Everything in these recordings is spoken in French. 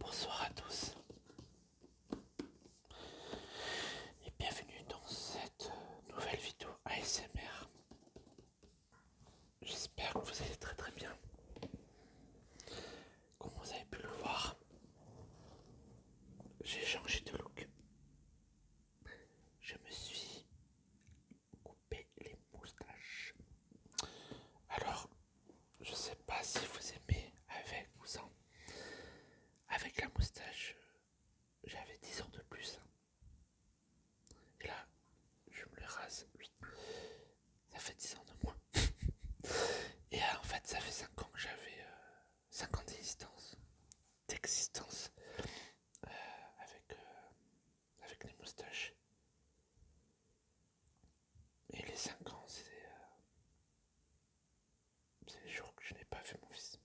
Bonsoir à tous et bienvenue dans cette nouvelle vidéo ASMR. J'espère que vous allez très très bien. Comme vous avez pu le voir, j'ai changé de look. Je me suis couper les moustaches. Alors, je sais pas si vous aimez avec ou sans. Avec la moustache, j'avais 10 ans de plus. Et là, je me le rase. Ça fait 10 ans de moins. Et en fait, ça fait 5 ans que j'avais 5 euh, ans d'existence. D'existence. Euh, avec euh, avec les moustaches. Et les 5 ans, c'est euh, les jours que je n'ai pas vu mon fils.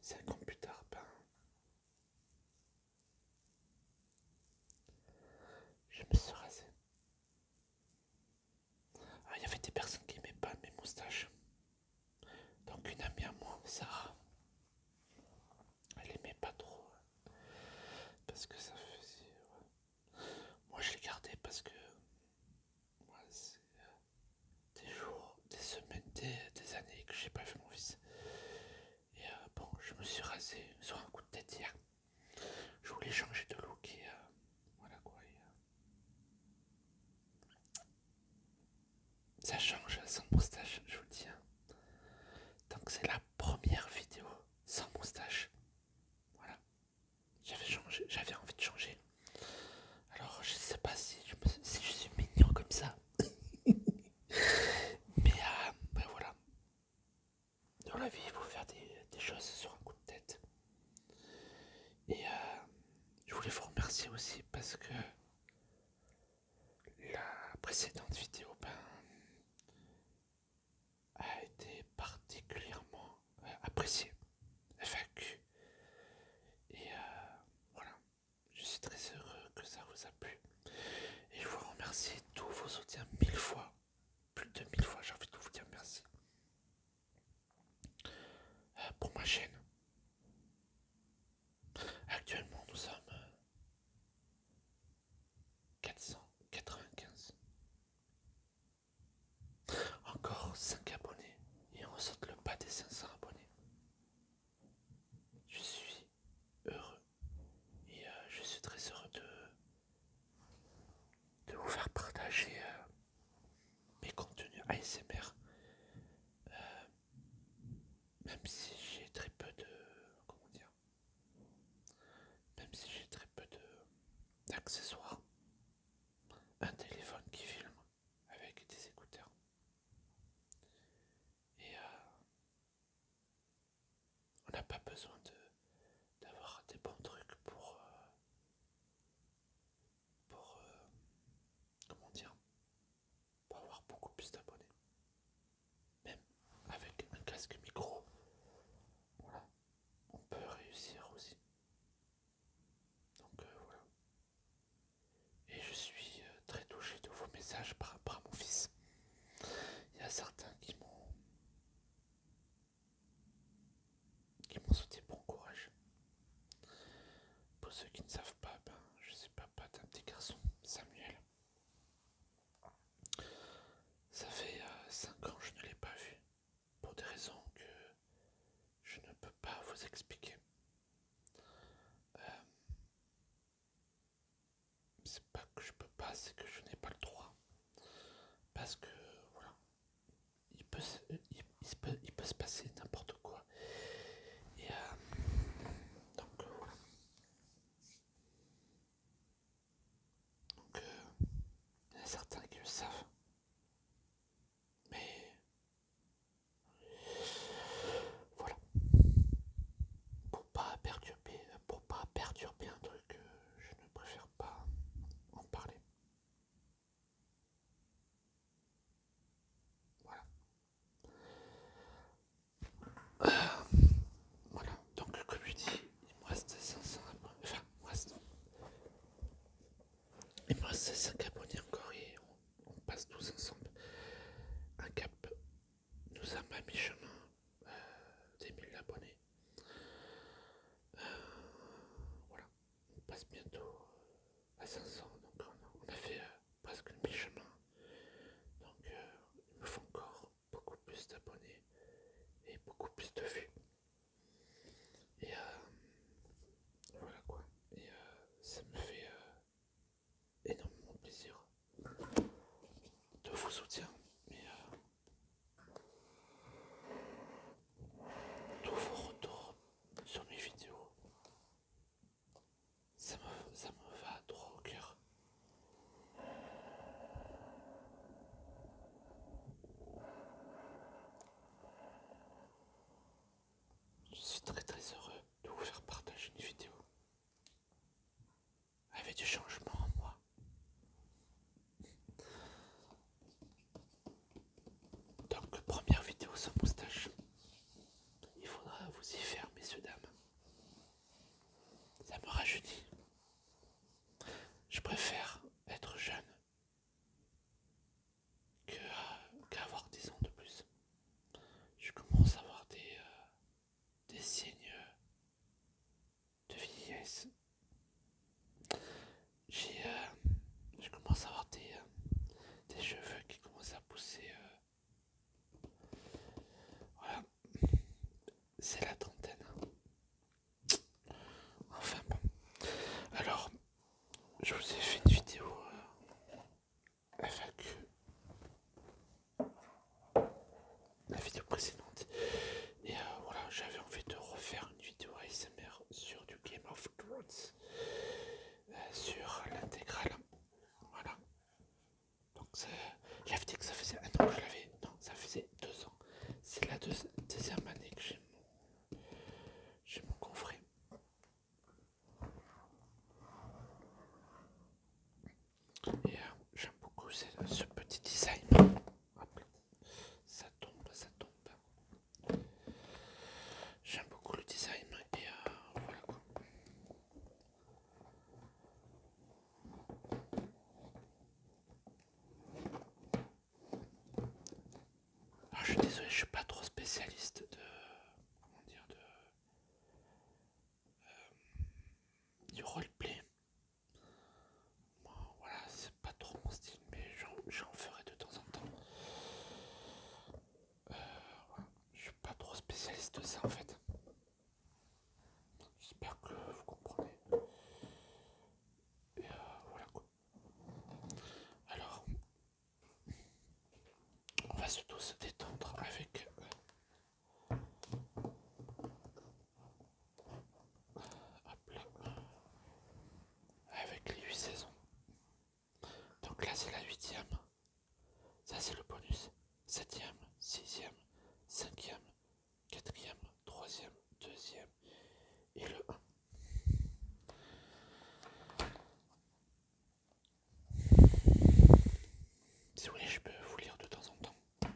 Cinq ans plus tard, ben, je me suis rasé. Ah, il y avait des personnes qui n'aimaient pas mes moustaches. Donc une amie à moi, Sarah, elle aimait pas trop. Hein. Parce que ça faisait. Moi je l'ai gardé parce que. moi, c'est des jours, des semaines, des, années que j'ai pas vu mon fils. Et euh, bon, je me suis rasé sur un coup de tête hier. Je voulais changer de look et euh, voilà quoi. Euh, ça change hein, sans moustache, je vous le dis. Hein. Donc c'est la première vidéo sans moustache. Voilà. J'avais envie de changer. Alors je sais pas si je, suis mignon comme ça. Mais euh, ben voilà. Dans la vie, il faut faire des, choses sur un coup de tête. Et euh, je voulais vous remercier aussi parce que la précédente vidéo ben, a été particulièrement euh, appréciée, FAQ. Et euh, voilà, je suis très heureux que ça vous a plu. Et je vous remercie tous vos soutiens mille fois, plus de mille fois, j'ai envie de vous dire merci. Euh, pour ma chaîne. Actuellement, nous sommes 495. Encore 5 abonnés et on saute le pas des 500 abonnés. Je suis heureux et euh, je suis très heureux de, de vous faire partager euh, mes contenus ASMR. Euh, même si j'ai très peu de... comment dire même si j'ai très peu d'accessoires, un téléphone qui filme avec des écouteurs. Et euh, on n'a pas besoin d'avoir des bons trucs pour... Euh, pour... Euh, comment dire pour avoir beaucoup plus d'abonnés. Même avec un casque micro, voilà, on peut réussir aussi. Donc euh, voilà. Et je suis euh, très touché de vos messages par rapport à mon fils. Il y a certains qui m'ont qui m'ont souhaité bon courage. Pour ceux qui ne savent pas, ben, je suis papa d'un petit garçon, Samuel. Ça fait 5 euh, ans que je ne l'ai pas vu, pour des raisons que je ne peux pas vous expliquer. Euh, c'est pas que je peux pas, c'est que je n'ai pas le droit. Parce que, voilà, il peut, peut, il peut se passer n'importe quoi. Et euh, donc, voilà. Donc, euh, il y a certains qui le savent. Mais voilà. Pour pas perturber, pour pas perturber un truc, euh, je ne préfère pas en parler. Voilà. Euh, voilà, donc comme je dis, il me reste 500 abonnés. Enfin, il 5 abonnés encore et on, passe tous ensemble. Un cap nous a pas mis chemin euh, des 1000 abonnés. Euh, voilà, on passe bientôt à 500. Donc on a, fait presque le chemin Donc euh, il me faut encore beaucoup plus d'abonnés et beaucoup plus de vues. Et euh, voilà quoi. Et euh, ça me fait énormément plaisir de vous soutenir. Et de vos retours sur mes vidéos ça me, va droit au cœur. Je suis très très heureux de vous faire partager une vidéo avec du changement en moi. Donc première vidéo sans moustache. Il faudra vous y faire, messieurs dames. Ça me rajeunit. Je préfère être jeune euh, qu'avoir des ans de plus. Je commence à avoir des, euh, signes de vieillesse. J'ai, euh, je commence à avoir des, cheveux qui commencent à pousser voilà, c'est la trentaine. Enfin bon. Alors, je vous ai fait une vidéo avec euh, La vidéo précédente. Et euh, voilà, j'avais envie de refaire une vidéo ASMR sur du Game of Thrones. Euh, sur l'intégrale. Voilà. Donc j'avais dit que ça faisait un an que je l'avais. Non, ça faisait deux ans. C'est la deuxième année que j'ai mon, confrère. Et euh, j'aime beaucoup ce, petit design. ça tombe, ça tombe. J'aime beaucoup le design et euh, voilà quoi. Ah, je suis désolé, je suis pas trop spécialiste de comment dire de euh, du roleplay. Bon, voilà, c'est pas trop mon style, mais j'en ferai de temps en temps. Je je suis pas trop spécialiste de ça en fait. J'espère que vous comprenez. Et euh, voilà quoi. Alors, on va surtout se détendre avec euh, avec les huit saisons. Donc là, c'est la 8ème. Ça, c'est le bonus. 7ème, 6ème, 5ème, 4ème, 3ème, 2ème et le 1. Si voulez je peux vous lire de temps en temps.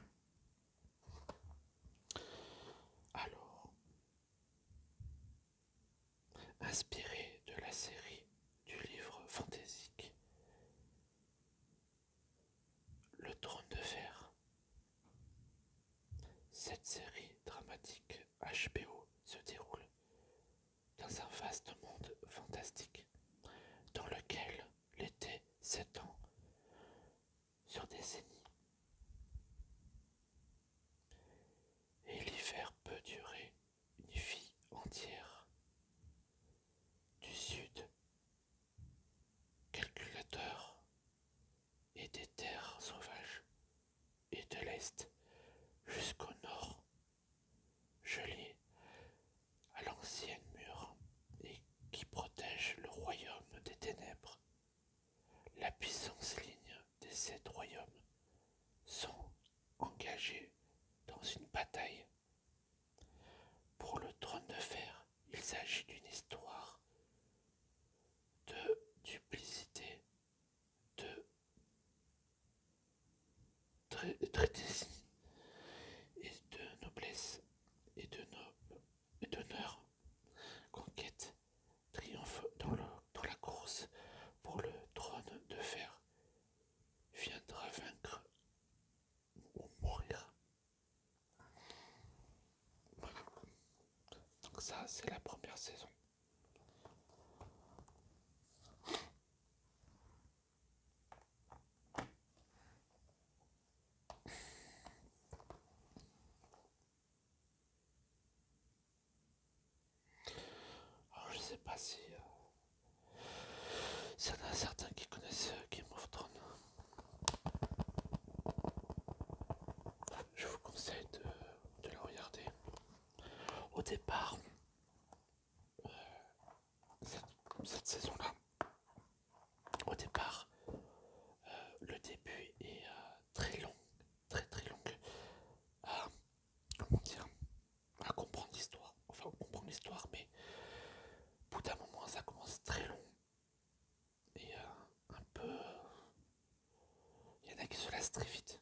Alors, inspiré de la série du livre fantastique Le Trône de Fer. Cette série dramatique HBO se déroule dans un vaste monde fantastique dans lequel l'été s'étend sur décennies. Et l'hiver peut durer une vie entière. Du sud, calculateur et des terres sauvages, et de l'est jusqu'au nord, gelée à l'ancienne mur et qui protège le royaume des ténèbres. La puissance ligne des sept royaumes sont engagé dans une bataille. Pour le trône de fer, il s'agit d'une histoire de duplicité, de traité et de noblesse et de et d'honneur. Conquête triomphe dans, dans la course pour le trône de fer viendra vaincre ou mourir. Donc ça, c'est la première saison. Alors, ah, je sais pas si. ça euh, y en a certains qui connaissent euh, Game of Thrones. Je vous conseille de, le regarder. Au départ, euh, cette, saison-là, au départ, le début est très long, très très long. Ah, comment dire à comprendre l'histoire. Enfin, on comprend l'histoire, mais au bout d'un moment, ça commence très long. Et euh, un peu... Il y en a qui se lassent très vite.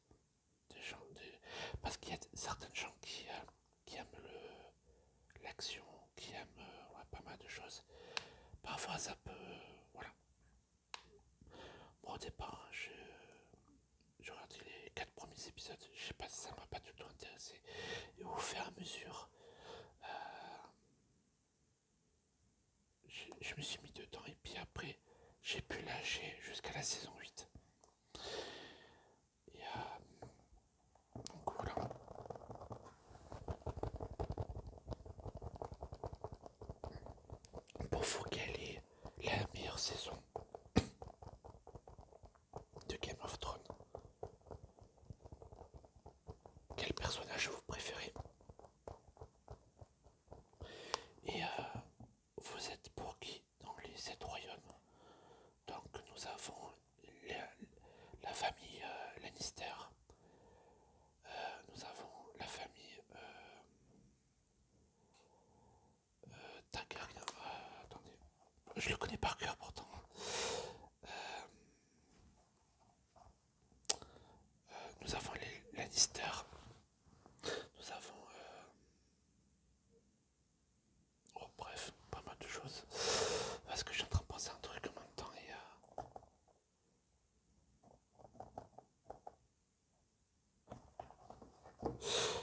gens, Parce qu'il y a certaines gens qui, euh, qui aiment l'action, qui aiment euh, pas mal de choses. Parfois, ça peut... Voilà. Moi, au départ, je j'ai regardé les quatre premiers épisodes, je sais pas si ça m'a pas du tout intéressé. Et au fur et à mesure, euh, je, me suis mis dedans et puis après, j'ai pu lâcher jusqu'à la saison 8. Et euh, donc voilà. Pour la meilleure saison de Game of Thrones. Quel personnage vous préférez Et euh, vous êtes pour qui dans les sept royaumes Donc nous avons la, famille euh, Lannister. Euh, nous avons la famille euh, euh, attendez. Je le connais par cœur pourtant. Euh, nous avons les Lannister. Nous avons. Oh, bref, pas mal de choses. Parce que je suis en train de penser à un truc en même temps et.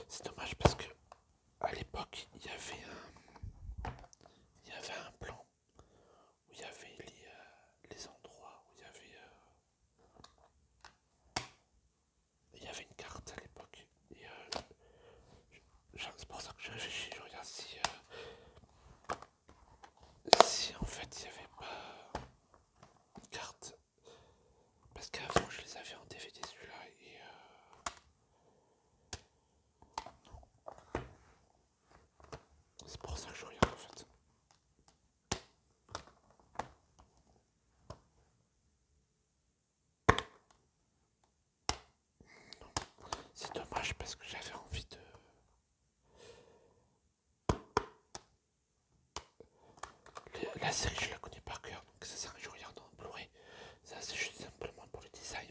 C'est dommage parce que à l'époque il y avait un il y avait un plan où il y avait les, euh, endroits où il y avait euh, il y avait une carte à l'époque et euh, c'est pour ça que je réfléchis je regarde si si en fait il n'y avait pas une carte parce qu'avant je les avais en DVD celui-là et euh, c'est pour ça que je regarde en fait. C'est dommage parce que j'avais envie de la série, je la connais par cœur, donc ça sert je regarde en Blu-ray. Ça, c'est juste simplement pour le design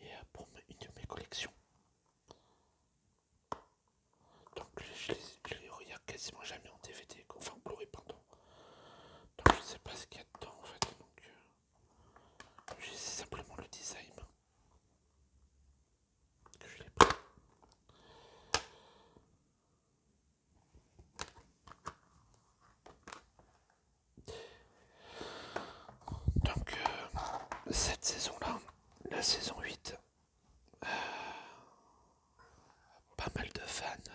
et euh, pour une de mes collections. Donc, je, les regarde quasiment jamais en DVD, enfin en Blu-ray, pardon. Donc, je sais pas ce qu'il y a dedans en fait. Donc, euh, j'ai simplement le design que je l'ai pris. Donc, euh, cette saison-là, la saison 8, euh, pas mal de fans euh,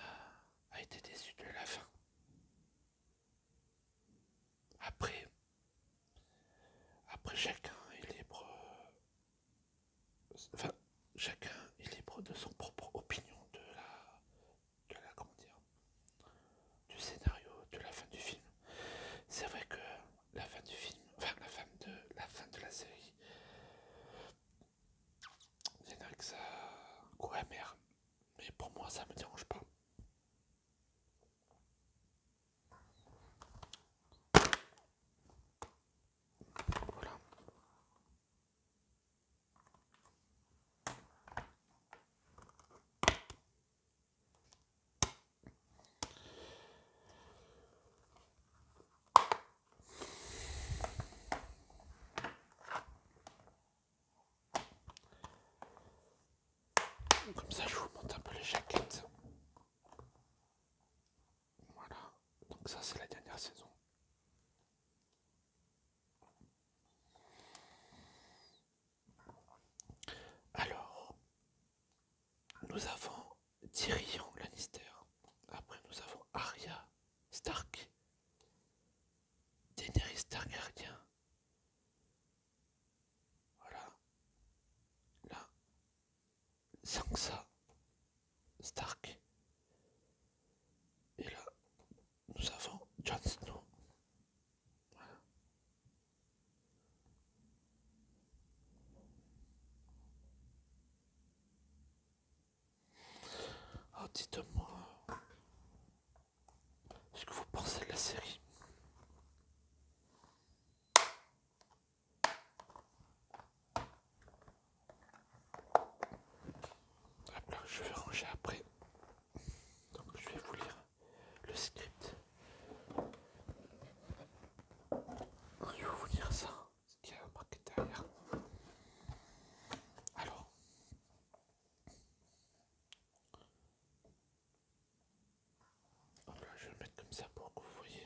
a été déçus de la fin. Après, après chacun est libre Enfin, chacun est libre de son propre opinion de la, de la comment dire, du scénario de la fin du film. C'est vrai que la fin du film, enfin la fin de la fin de la série, c'est vrai que ça amer, mais pour moi ça me dérange pas. Voilà. Comme ça, je vous monte un peu les jaquettes. Voilà, donc ça c'est la dernière saison. Alors, nous avons Tyrion Lannister. Après, nous avons Aria, Stark, Daenerys Targaryen. Voilà. Là, Sansa Stark. Et là, nous avons John Snow. Oh, dites-moi, ce que vous pensez de la série je vais ranger après. Donc je vais vous lire le script. Je vais vous lire ça, ce qu'il y a marqué derrière. Alors. Hop là, je vais le mettre comme ça pour que vous voyez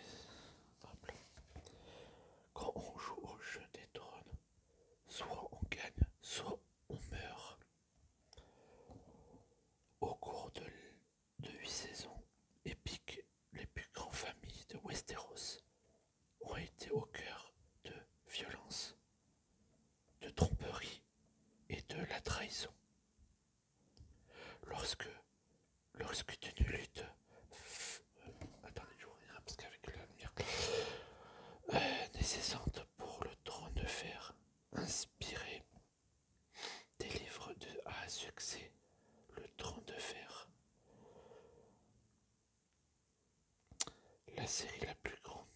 quand on joue au jeu des trônes, soit on gagne, soit on meurt. Au cours de, huit 8 saisons, épiques, les plus grandes familles de Westeros, ont été au cœur de violences, de tromperies et de la trahison. Lorsque le risque d'une euh, lutte. attendez, je vous parce qu'avec la lumière euh, pour le trône de fer, inspiré des livres de, à succès, le trône de fer. La série la plus grande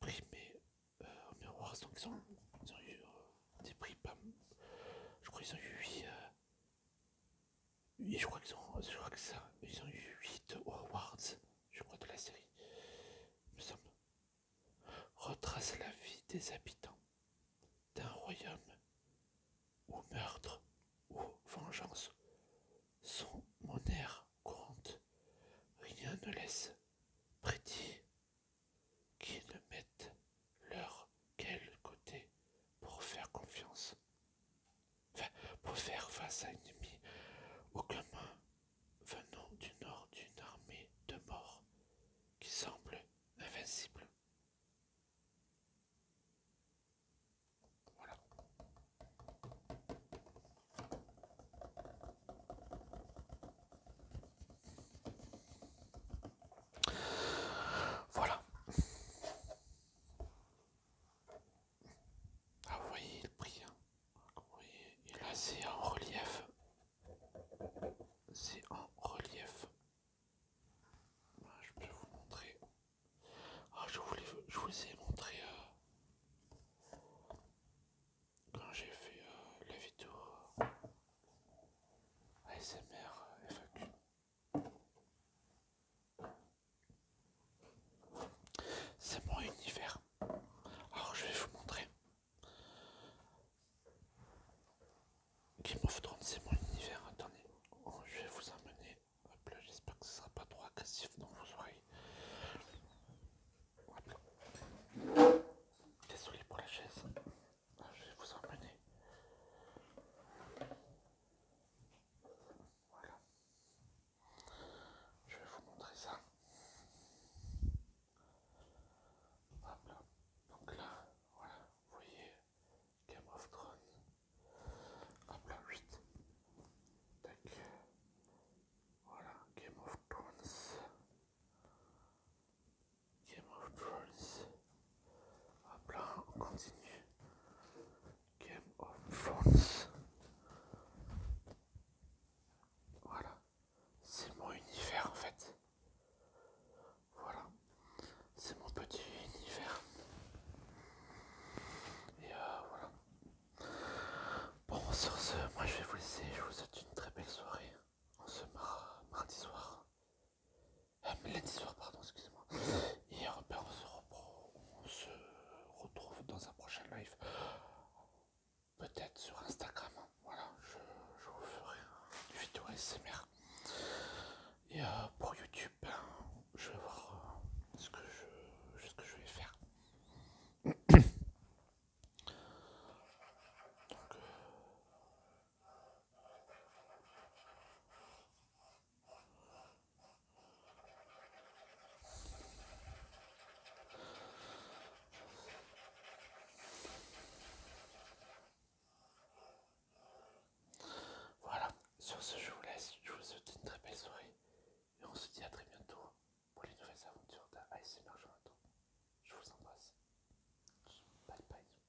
primée euh, au miroir, ils ont, eu des prix, je crois ils ont eu et je crois qu'ils ont, que ça, ils ont eu 8 awards, je crois, de la série. Nous sommes. Retrace la vie des habitants d'un royaume où meurtre ou vengeance sont monnaie courante. Rien ne laisse prédit qui ne mettent leur quel côté pour faire confiance, pour faire face à un ennemi au venant du nord d'une armée de morts qui semble invincible. Voilà. Voilà. Ah, vous voyez le prix. Hein. Et là, c'est en relief. C'est en relief. je peux vous montrer. Ah, je, je vous ai montré euh, quand j'ai fait euh, la vidéo euh, ASMR FAQ. C'est mon univers. Alors je vais vous montrer. Game of Thrones, c'est mon univers. Attendez, oh, je vais vous amener. j'espère que ce sera pas trop agressif dans vos oreilles. Désolé pour la chaise. Ah, je vais vous emmener. Voilà. Je vais vous montrer ça. Hop là. Donc là, voilà, vous voyez Game of Thrones. Hop là, 8. Tac. Voilà, Game of Thrones. Game of Thrones. Hop là, on continue. Game of Thrones. Voilà. C'est mon univers en fait. Voilà. C'est mon petit univers. Et euh, voilà. Bon, sur ce, moi je vais vous laisser. Je vous souhaite une très belle soirée en ce mardi soir euh, pardon, excusez-moi. Et on, se retrouve dans un prochain live. Peut-être sur Instagram. Hein. Voilà, je, vous ferai une vidéo SMR. Et euh, pour YouTube, hein, je vais voir euh, ce, que je, vais faire. Donc, euh, voilà, sur ce je vous laisse, je vous souhaite une très belle soirée et on se dit à très bientôt pour les nouvelles aventures d'ASMR Jonathan. Je vous embrasse. Bye bye.